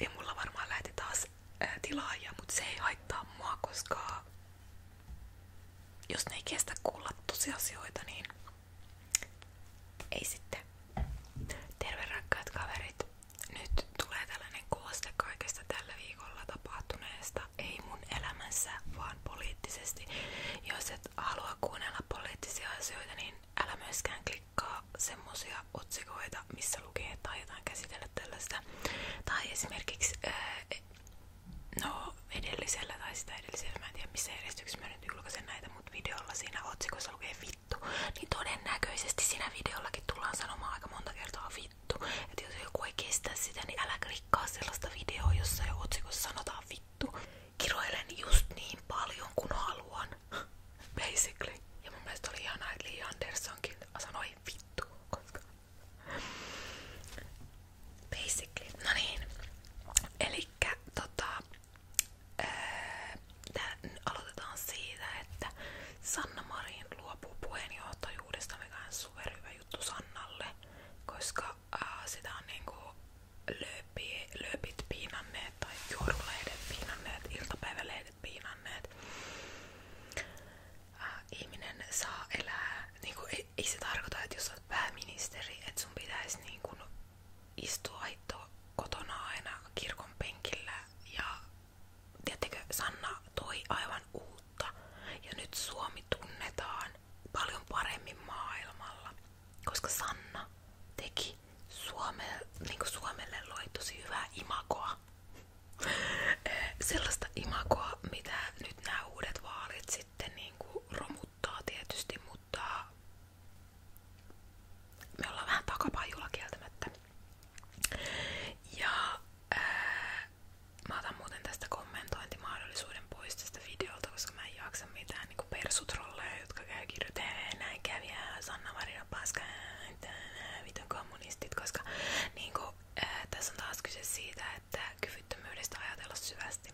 Ja mulla varmaan lähti taas ää, tilaajia, mutta se ei haittaa mua, koska jos ne ei kestä kuulla tosiasioita, niin ei sitten. Terve rakkaat kaverit! Nyt tulee tällainen kooste kaikesta tällä viikolla tapahtuneesta, ei mun elämässä, vaan poliittisesti. Jos et halua kuunnella poliittisia asioita, niin älä myöskään klikkaa klikkaa semmosia otsikoita, missä lukee, että aiotaan käsitellä tällaista. Tai esimerkiksi, äh, no edellisellä tai sitä edellisellä, mä en tiedä missä järjestyksessä mä nyt julkaisen näitä, mutta videolla siinä otsikossa lukee vittu. Niin todennäköisesti siinä videollakin tullaan sanomaan aika monta kertaa vittu. Että jos joku ei kestä sitä, niin älä klikkaa sellaista videoa, jossa jo otsikossa sanotaan vittu. Kiroilen just niin paljon kuin haluan. basically. Ja mun mielestä oli ihanaa, että Li Andersonkin sanoi vittu, koska basically, no niin. Elikkä tota, ää, tää, aloitetaan siitä, että Sanna Marin luopuu puheenjohtajuudesta, mikä on superhyvä juttu Sannalle, koska ää, sitä on niinku lööpit piinanneet tai juoruleiden piinanneet iltapäivälle äidit äh, saa elää, niinku, ei, ei se tarkoita, että jos että sun pitäisi niinku, istua hitto kotona aina kirkon penkillä. Ja tiedättekö, Sanna toi aivan uutta. Ja nyt Suomi tunnetaan paljon paremmin maailmalla, koska Sanna teki Suome, niin Suomelle loi tosi hyvää imakoa. Eh, sellaista mitä nyt nämä vaalit sitten niin romuttaa tietysti, mutta me ollaan vähän Ja ää, eh, mä otan muuten tästä kommentointimahdollisuuden pois koska mä en jaksa mitään niin jotka käy kirjoittaa näin kävi ja Sanna Marina Paska vitun kommunistit, koska niinku, äh, tässä on taas kyse siitä, että kyvyttömyydestä ajatella syvästi.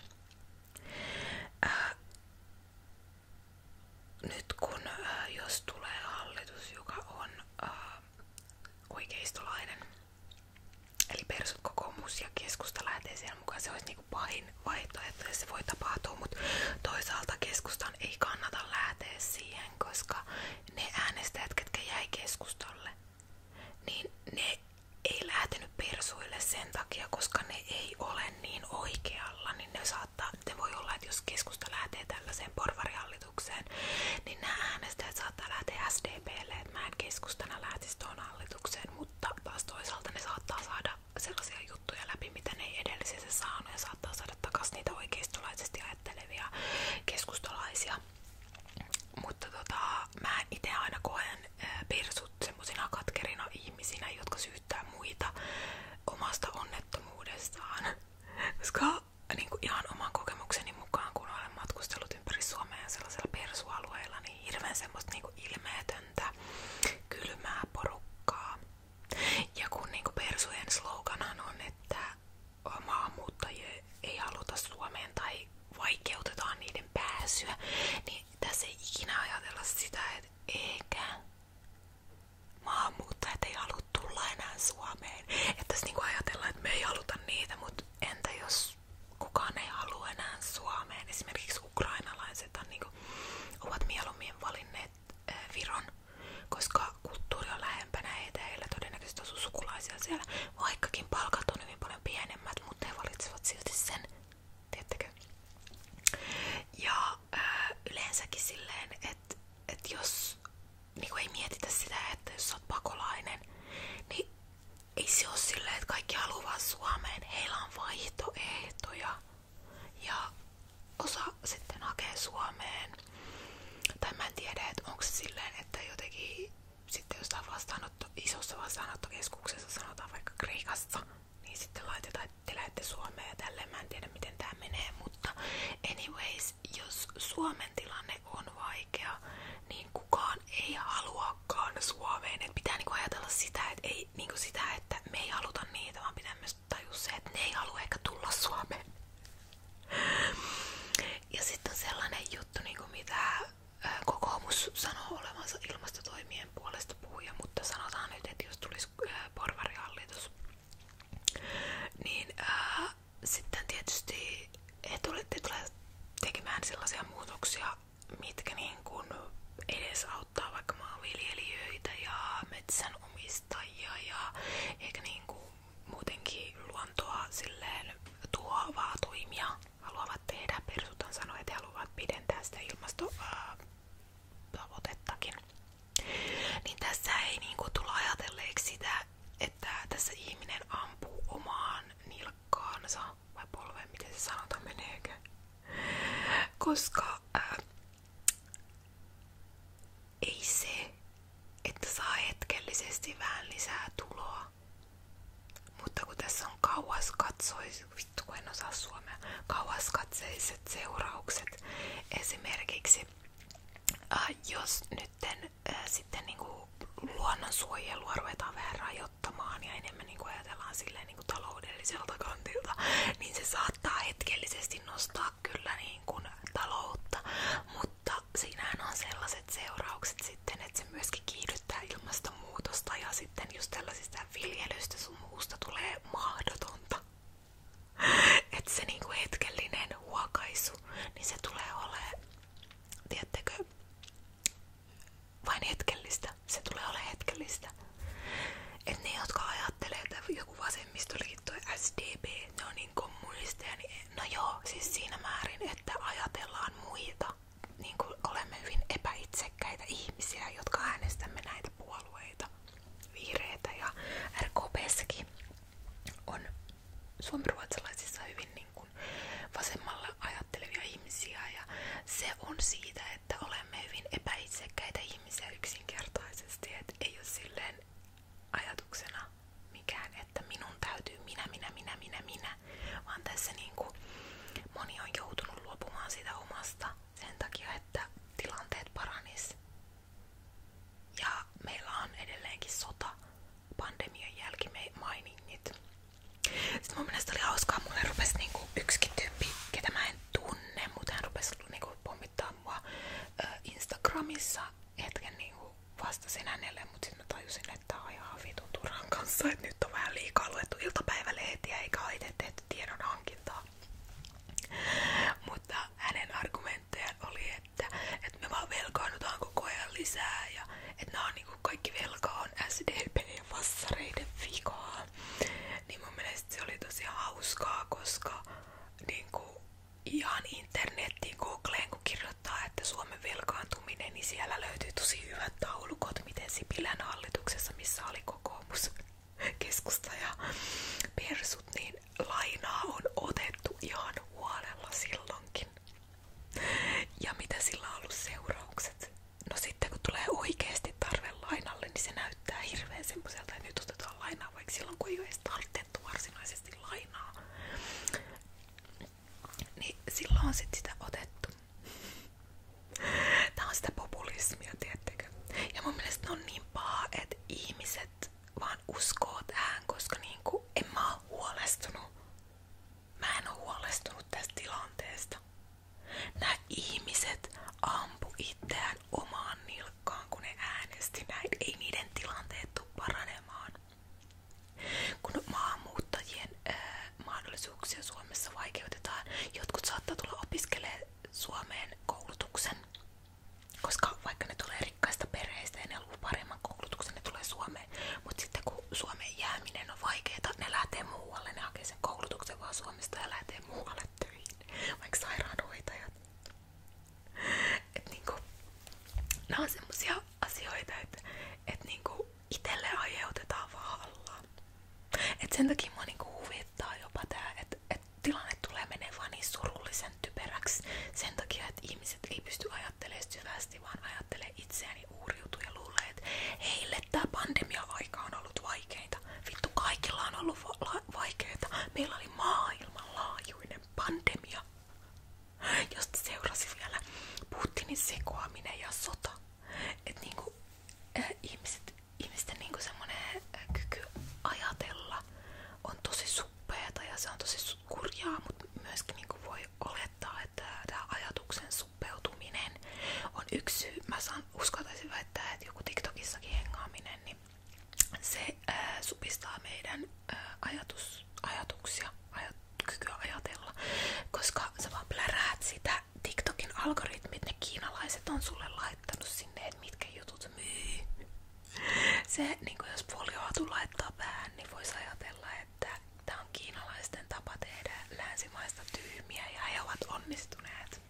Äh, nyt kun ää, äh, jos on oikeistolainen, eli persut kokoomus ja keskusta lähtee se olisi niinku pahin vaihtoehto ja se voi tapahtua, mutta toisaalta keskusta oikeastaan ei kannata lähteä siihen, koska ne äänestäjät, ketkä jäi keskustolle, niin ne ei lähtenyt persuille sen takia, koska ne ei ole niin oikealla, niin ne saattaa, ne voi olla, että jos keskusta lähtee tällaiseen porvarihallitukseen, niin nämä äänestäjät saattaa lähteä SDPlle, että mä en keskustana lähtisi tuohon hallitukseen, mutta taas toisaalta ne saattaa saada sellaisia juttuja läpi, mitä ne ei edellisessä saanut ja saattaa saada takaisin niitä oikeistolaisesti ajattelevia keskustalaisia. Mutta tota, mä itse aina koen persut semmosina katkerina ihmisinä, jotka syyttää muita omasta onnettomuudestaan. Koska niin kuin ihan oman kokemukseni mukaan, kun olen matkustellut ympäri Suomea sellaisella persualueella, niin hirveän semmoista niin ilmeetöntä, kylmää porukkaa, ja kun niinku persujen sloganhan on, että maahanmuuttajia ei haluta Suomeen tai vaikeutetaan niiden pääsyä, niin tässä ei ikinä ajatella sitä, että eikä maahanmuuttajat ei halua tulla enää Suomeen. Että tässä niinku ajatellaan, että me ei haluta niitä, mutta entä jos kukaan ei halua enää Suomeen? Esimerkiksi ukrainalaiset on niinku, ovat mieluummin valinneet Eh, Viron, koska kulttuuri on todennäköisesti sukulaisia siellä, vaikkakin paljon pienemmät, mutta he valitsevat silti sen, tiedättekö? Ja ää, eh, yleensäkin että jos niin ei mietitä sitä, että jos olet pakolainen, niin ei se että kaikki haluaa Suomeen. Heillä on ja osa sitten hakee Suomeen. Tai mä en tiedä, että onko se silleen, että jotenkin sitten jos jostain vastaanotto, isossa vastaanottokeskuksessa sanotaan vaikka Kreikassa, niin sitten laitetaan, että te lähdette Suomeen ja tälleen. Mä en tiedä, miten tämä menee, mutta anyways, jos Suomen tilanne on vaikea, niin kukaan ei haluakaan Suomeen. Et pitää niinku ajatella sitä, että ei niinku sitä, että me ei haluta niitä, vaan pitää myös tajus se, että ne ei halua ehkä tulla Suomeen. Ja sitten on sellainen juttu, niin kuin mitä kokoomus sanoo olevansa ilmastotoimien puolesta puhuja, mutta sanotaan nyt, että jos tulisi porvarihallitus, niin ää, sitten tietysti he tulee tekemään sellaisia muutoksia, mitkä niin kuin edes auttaa vaikka maanviljelijöitä ja metsänomistajia ja ehkä niinku muutenkin luontoa silleen tuovaa toimia haluavat tehdä. Persutan sanoi, että he haluavat pidentää sitä ilmastotavoitettakin. Niin tässä ei niinku tulla ajatelleeksi sitä, että tässä ihminen ampuu omaan nilkkaansa vai polveen, miten sanotaan meneekö. Koska äh, ei se, että saa hetkellisesti vähän lisää tuloa. Mutta kun tässä on kauas katsois, vittu kun suomea, kauas katseiset seuraukset. Esimerkiksi äh, jos nytten äh, sitten niinku luonnonsuojelua ruvetaan vähän rajoittamaan ja enemmän niinku ajatellaan sille, tälleen niin taloudelliselta kantilta, niin se saattaa hetkellisesti nostaa kyllä niin kuin taloutta, mutta siinähän on sellaiset seuraukset sitten, että se myöskin kiihdyttää ilmastonmuutosta ja sitten just tällaisista viljelystä sun muusta tulee mahdotonta. Että se niin niinku hetkellinen huokaisu, niin se tulee olemaan, tiettekö, vain hetkellistä. Se tulee olemaan hetkellistä. Et ne, jotka ajattelee, että joku vasemmistoliitto ja SDP, ne on niinku niin kommunisteja, niin no joo, siis siinä määrin, että ajatellaan muita. Niin kuin olemme hyvin epäitsekkäitä ihmisiä, jotka äänestämme näitä puolueita. Vihreitä ja RKPssäkin on suomiruotsalaisissa hyvin niin kuin vasemmalla ajattelevia ihmisiä ja se on siitä, että ole olemme hyvin epäitsekkäitä ihmisiä yksinkertaisesti, että ei ole silleen mikään, että minun täytyy minä, minä, minä, minä, minä, vaan tässä niinku moni on joutunut luopumaan sitä omasta sen takia, että tilanteet paranis. Ja meillä on edelleenkin sota pandemian jälkimainingit. Sitten mun mielestä oli hauskaa, mulle rupesi niinku yksikin tyyppi, ketä mä en tunne, mutta hän rupesi niinku pommittaa mua Instagramissa hetken niinku vastasin hänelle, mutta sitten mä tajusin, että tää on ihan vitun turhan kanssa, että nyt on vähän liikaa luettu iltapäivälehtiä eikä ole itse tehty tiedon hankintaa. Mutta hänen argumenttejaan oli, että, että me vaan velkaannutaan koko ajan lisää ja että nämä on niinku kaikki velka on SDP ja vassareiden vikaa vastaan. Niin mun mielestä se oli tosi hauskaa, koska niinku, ihan internettiin Googleen kun kirjoittaa, että Suomen velkaantuminen, niin siellä löytyy tosi hyvät taulukot, miten Sipilän hallituksessa, missä oli kokoomus, keskusta ja persut, niin lainaa on otettu ihan huolella silloinkin. Ja mitä sillä on ollut seuraukset? No sitten kun tulee oikeasti tarve lainalle, niin se näyttää hirveän semmoiselta, että nyt otetaan lainaa, vaikka silloin kun ei ole edes tartettu varsinaisesti lainaa. Niin silloin on sit sitä otettu. Tää on sitä populismia, tiettekö? Ja mun mielestä ne on niin paha, että ihmiset vaan uskoo tähän, koska niinku en mä oo huolestunut. Mä en oo huolestunut tästä tilanteesta. Nämä ihmiset ampu itseään omaan nilkkaan, kun ne äänesti näin. Ei niiden tilanteet tule paranemaan. Kun maahanmuuttajien ää, mahdollisuuksia Suomessa vaikeutetaan, jotkut saattaa tulla opiskelemaan Suomeen koulutuksen. Koska vaikka ne tulee rikkaista perheistä ja ne haluaa paremman koulutuksen, ne tulee Suomeen. Mutta sitten kun Suomeen jääminen on vaikeaa, ne lähtee muualle, ne hakee sen koulutuksen vaan Suomeen Suomesta ja lähtee muualle töihin, vaikka sairaanhoitajat. Et niinku, nämä on semmosia asioita, että et niinku itelle aiheutetaan vahvalla. Et sen takia mua niinku huvittaa jopa tää, että et tilanne tulee menee vaan niin surullisen typeräksi sen takia, että ihmiset ei pysty ajattelemaan syvästi, vaan ajattelee itseään ei uuriutu ja luulee, että heille tämä pandemia-aika on ollut vaikeinta. Vittu, kaikilla on ollut va vaikeinta. Meillä oli maailmanlaajuinen pandemia, josta seurasi vielä Putinin sekoaminen ja sota. Että niinku, äh, ihmiset, ihmisten niinku semmonen äh, kyky ajatella on tosi suppeeta ja se on tosi kurjaa, mutta myöskin niinku voi olettaa, että tämä ajatuksen on yksi syy. Mä saan, uskaltaisin väittää, että joku TikTokissakin hengaaminen, niin se supistaa meidän ää, kykyä ajatella, koska sä vaan pläräät TikTokin algoritmit, ne kiinalaiset on sulle laittanut sinne, että mitkä jutut myy. Se, niin jos polioatu laittaa päähän, niin voisi ajatella, että Tämä on kiinalaisten tapa tehdä länsimaista tyhmiä ja he ovat onnistuneet.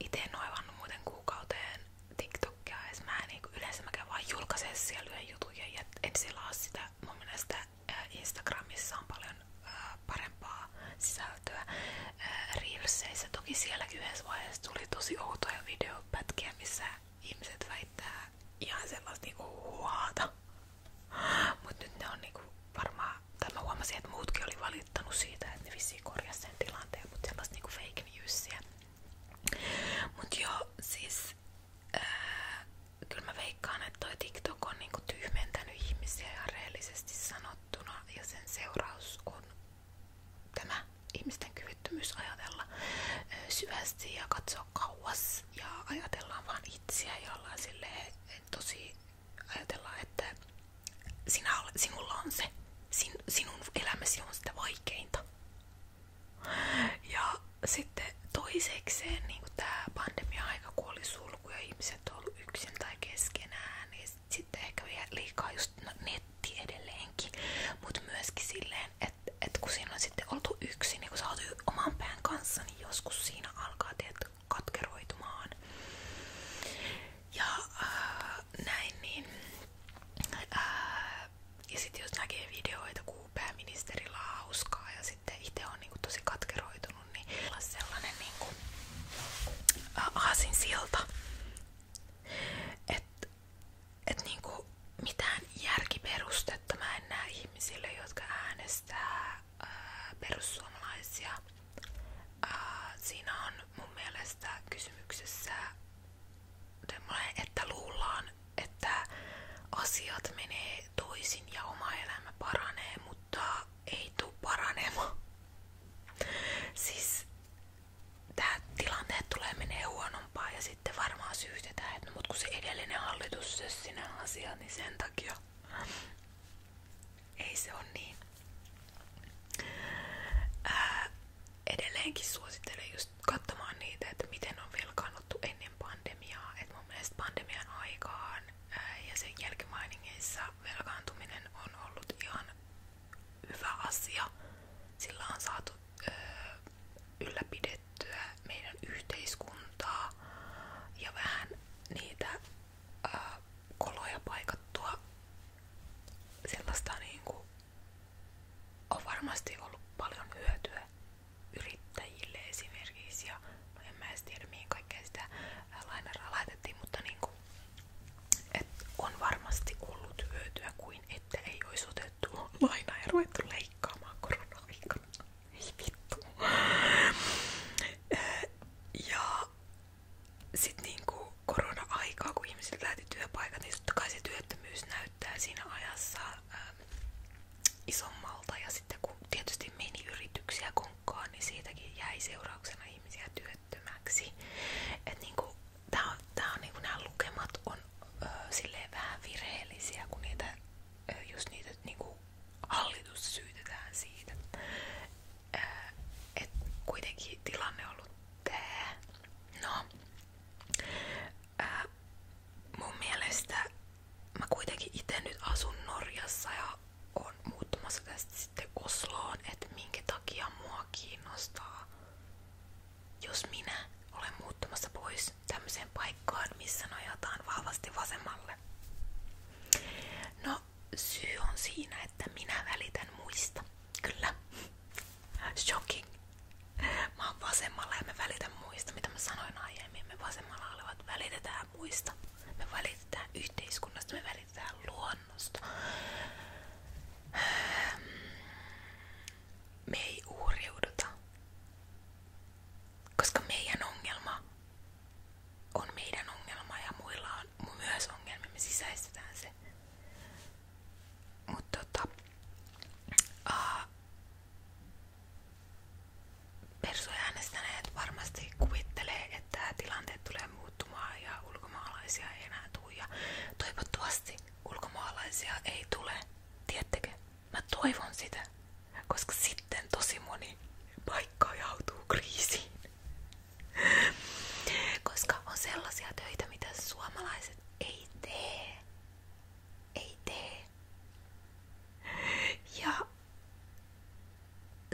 Itse en ole avannut muuten kuukauteen TikTokia edes. Mä en, niin yleensä mä käyn vaan julkaisee siellä yhden jutun ja en selaa sitä. Mun mielestä äh, Instagramissa on paljon äh, parempaa sisältöä. Äh, Reelseissä toki sielläkin yhdessä vaiheessa tuli tosi outoja videopätkiä, missä ihmiset väittää ihan sellaista niinku huata Mut nyt ne on niinku varmaan, tai mä huomasin, että muutkin oli valittanut siitä, että ne vissiin korjasi sen tilanteen, mutta sellaista niinku fake newsia. Mut joo, siis ää, äh, kyllä mä veikkaan, että toi TikTok on niinku tyhmentänyt ihmisiä ja rehellisesti sanottuna ja sen seuraus on tämä ihmisten kyvyttömyys ajatella äh, syvästi ja katsoa kauas ja ajatellaan vaan itseä ja ollaan silleen tosi ajatellaan, että sinä, sinulla on se, sin, sinun elämäsi on sitä vaikeinta. Ja sitten toisekseen niin kuin tämä pandemia-aika, kun oli sulku ja ihmiset on ollut yksin tai keskenään, niin sitten ehkä vielä liikaa just no, netti edelleenkin, mutta myöskin silleen, että et kun siinä on sitten oltu yksin, niin kun sä oot oman pään kanssa, niin joskus siinä alkaa teet katkeroitumaan. Ja äh, näin niin. Äh, ja sitten jos näkee videoita, kun pääministerillä on hauskaa ja sitten itse on niinku tosi katkeroitunut, niin sellainen niinku äh, aasin silta, että et niinku mitään järkiperustetta mä en näe ihmisille, jotka äänestää Äh, perussuomalaisia. Äh, siinä on mun mielestä kysymyksessä että luullaan, että asiat menee toisin ja oma elämä paranee, mutta ei tule paranemaan. Siis tämä tilanne tulee menee huonompaa ja sitten varmaan syytetään, että no, mut kun se edellinen hallitus sössi nämä asiat, niin sen takia. Ei se on niin. Ää, edelleenkin suosittelen just katsomaan niitä, että miten on velkaannuttu ennen pandemiaa. Et mun mielestä pandemian aikaan ää, ja sen jälkimainingeissa velkaantuminen on ollut ihan hyvä asia. Sillä on saatu ää, ylläpidetty pidettyä meidän yhteiskuntaa ja vähän niitä ää, koloja paikattua. Sellaista niinku on varmasti ollut paljon hyötyä yrittäjille esimerkiksi ja no en mä edes tiedä mihin kaikkea sitä lainaraa laitettiin, mutta niinku, et on varmasti ollut hyötyä kuin että ei olisi otettu lainaa ja ruvettu leikkaamaan korona-aikana. Ei vittu. Ja sitten niinku korona-aikaa, kun ihmisiltä lähti työpaikat, niin totta kai se työttömyys näyttää siinä ajassa ähm, isommalta. Ja sitten kun tietysti meni yrityksiä konkkaan, niin siitäkin jäi seurauksena ihmisiä työttömäksi. Et niinku, tää on, tää on, niinku, nämä lukemat on ö, silleen vähän virheellisiä, kun niitä jos niitä niinku hallitus syytetään siitä. Et kuitenkin tilanne on ollut tää. No. Ää, mun mielestä kuitenkin itse nyt asun Norjassa ja on muuttumassa tästä sitten Osloon, että minkä takia mua kiinnostaa, jos minä olen muuttumassa pois pois tämmöiseen paikkaan, missä nojataan vahvasti vasemmalle. No, syy on siinä, että minä välitän muista. Kyllä. Shocking. Mä oon vasemmalla ja mä välitän muista, mitä mä sanoin aiemmin. Me vasemmalla olevat välitetään muista. Me välitetään yhteiskunnasta, me välitetään luonnosta. Me ei uhriuduta koska meidän ongelma on meidän ongelma ja muilla on myös ongelma, me sisäistetään se. Mutta tota, uh, persoja äänestäneet varmasti kuvittelee, että tilanteet tulee muuttumaan ja ulkomaalaisia ei enää tule. Ja toivottavasti ulkomaalaisia ei tule, tiettekö? mä toivon sitä, koska sitten tosi moni paikka joutuu kriisiin. Koska on sellaisia töitä, mitä suomalaiset ei tee. Ei tee. Ja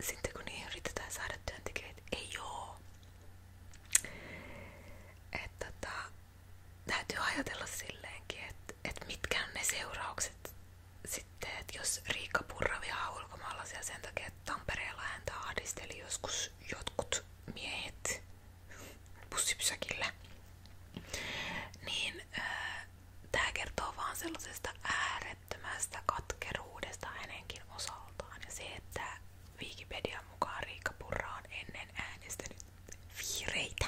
sitten kun niihin yritetään saada työntekijöitä, ei joo. Että tota, täytyy ajatella silleenkin, että et mitkä on ne seuraukset sitten, että jos Riikka Purra vihaa ulkomaalaisia sen takia, että Tampereella häntä ahdisteli joskus jotkut miehet bussipysäkillä, niin äh, tämä kertoo vaan sellaisesta äärettömästä katkeruudesta hänenkin osaltaan. Ja se, että Wikipedian mukaan Riikka Purra on ennen äänestänyt Viireitä.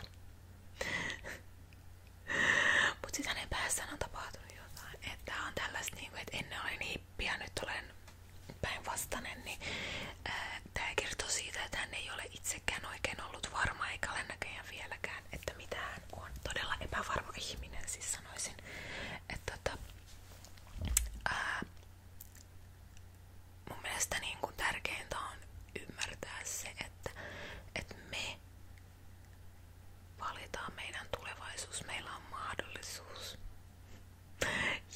Mut sit hänen päässään on tapahtunut jotain. Että on tällaista niinku, että ennen olin niin hippi ja nyt olen päinvastainen, niin ää, tää kertoo siitä, että hän ei ole itsekään oikein ollut varma eikä ole näköjään vieläkään, että mitä hän on. Todella epävarma ihminen, siis sanoisin. Että tota, ää, mun mielestä niin kuin tärkeintä on ymmärtää se, että, että me valitaan meidän tulevaisuus, meillä on mahdollisuus.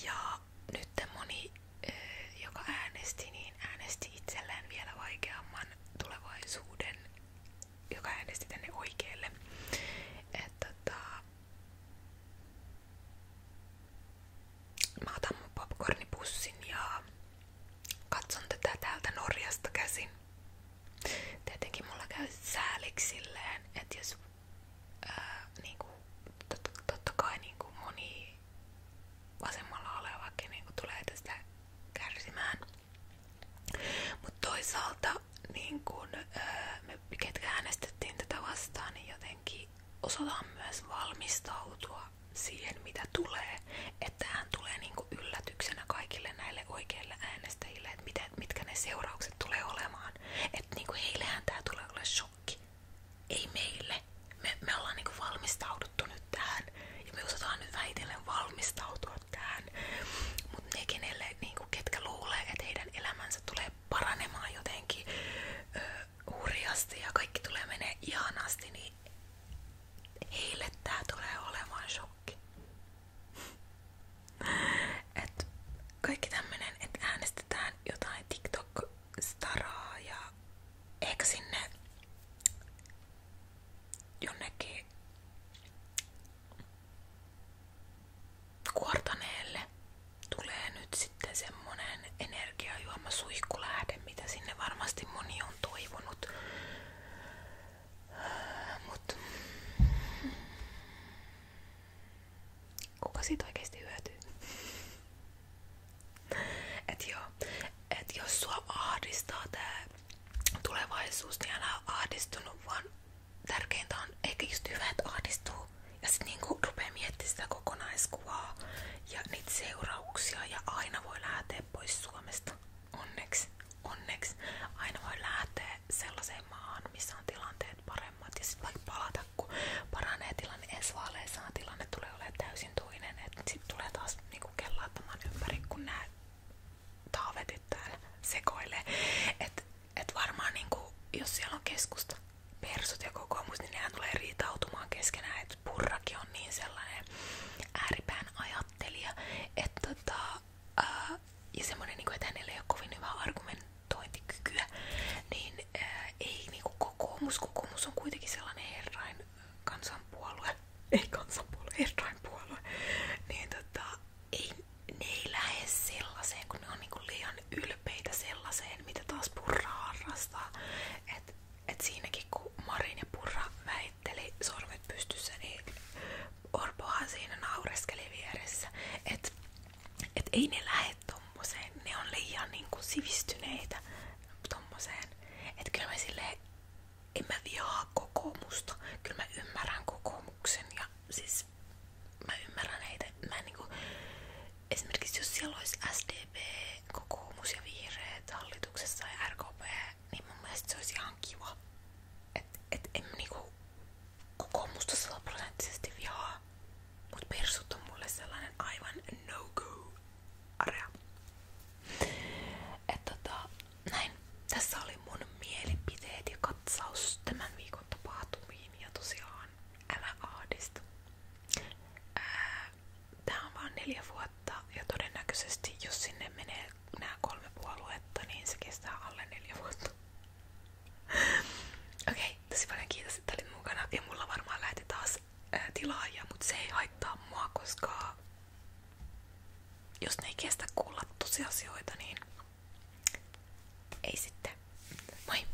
Ja nyt te moni, joka äänesti, niin äänesti itselleen vielä vaikeamman tulevaisuuden, joka äänesti tänne oikealle. Että, tota, Mä otan mun popcornipussin ja katson tätä täältä Norjasta käsin. Tietenkin mulla käy sääliksi että jos ää, niinku, totta kai niinku moni vasemmalla olevakin niinku tulee tästä kärsimään. Mutta niin kun, me ketkä tätä vastaan, niin jotenkin osataan myös valmistautua aikaa siihen mitä tulee, että hän tulee niinku yllätyksenä kaikille näille oikeille äänestäjille, että mitä, mitkä ne seuraukset tulee olemaan. Että niinku heillehän tämä tulee olla shokki. Ei meille. Me, me ollaan niinku valmistauduttu nyt tähän ja me osataan nyt väitellen valmistautua tähän. Mutta ne, kenelle, niinku, ketkä luulee, että heidän elämänsä tulee paranemaan jotenkin ö, hurjasti ja kaikki tulee menee ihanasti, niin heille tää tulee olemaan shokki. Et kaikki tämmönen, että äänestetään jotain TikTok-staraa ja ehkä sinne jonnekin kuortaneelle tulee nyt sitten se semmonen energiajuomasuihkulähde, mitä sinne varmasti moni on toivonut. Mut kuka siitä oikeesti hyötyy? Et joo, et jos sua ahdistaa tää tulevaisuus, niin älä ahdistunut, vaan tärkeintä on eikö just hyvä, että ahdistuu ja sit niinku rupee miettimään sitä kokonaiskuvaa ja niitä seurauksia ja aina voi lähteä pois Suomesta. Onneksi, onneksi. Aina voi lähteä sellaiseen maahan, missä on tilanteet paremmat ja sitten vaikka palata, kun paranee tilanne ensi vaaleissa, tilanne tulee olemaan täysin toinen. Sitten tulee taas niinku kellaattamaan ympäri, kun nämä taavetit täällä sekoilee. Et, et varmaan niinku, jos siellä on keskusta, persut ja kokoomus, niin nehän tulee riitautumaan keskenään, että purrakin on niin sellainen ääripään ajattelija, että tota, ää, äh, ja semmonen, niinku, että hänellä ei ole kovin hyvää argumentointikykyä, niin ää, äh, ei niinku kokoomus, kokoomus on kuitenkin sellainen herrain kansanpuolue, ei kansanpuolue, herrain puolue, niin tota, ei, ne ei lähde sellaiseen, kun ne on niinku liian ylpeitä sellaiseen, mitä taas purra harrastaa. että et siinäkin kun Marin ja Purra väitteli sormet pystyssä, niin Orpohan siinä naureskeli vieressä. Että et ei ne lähde tommoseen, ne on liian niinku sivistyneitä tommoseen. Että kyllä mä silleen, en mä vihaa kokoomusta, kyllä mä ymmärrän kokoomuksen ja siis mä ymmärrän heitä. Mä en niinku, esimerkiksi jos siellä olisi SDP, kokoomus ja vihreät hallituksessa ja RKP, niin mun mielestä se olisi ihan kiva. Että et en niinku kokoomusta sataprosenttisesti vihaa, mut persut on mulle sellainen aivan no-go area. Että tota, näin. Tässä oli mun mielipiteet ja katsaus tämän viikon tapahtumiin ja tosiaan älä ahdistu. Äh, tää on vaan neljä vuotta ja todennäköisesti jos sinne menee nämä kolme puoluetta, niin se kestää alle neljä vuotta. Okei, okay, tosi paljon kiitos, että olit mukana ja mulla varmaan lähti taas ää, äh, tilaaja, mutta se ei haittaa mua, koska jos ne ei kestä kuulla tosiasioita, niin ei sitten. Moi!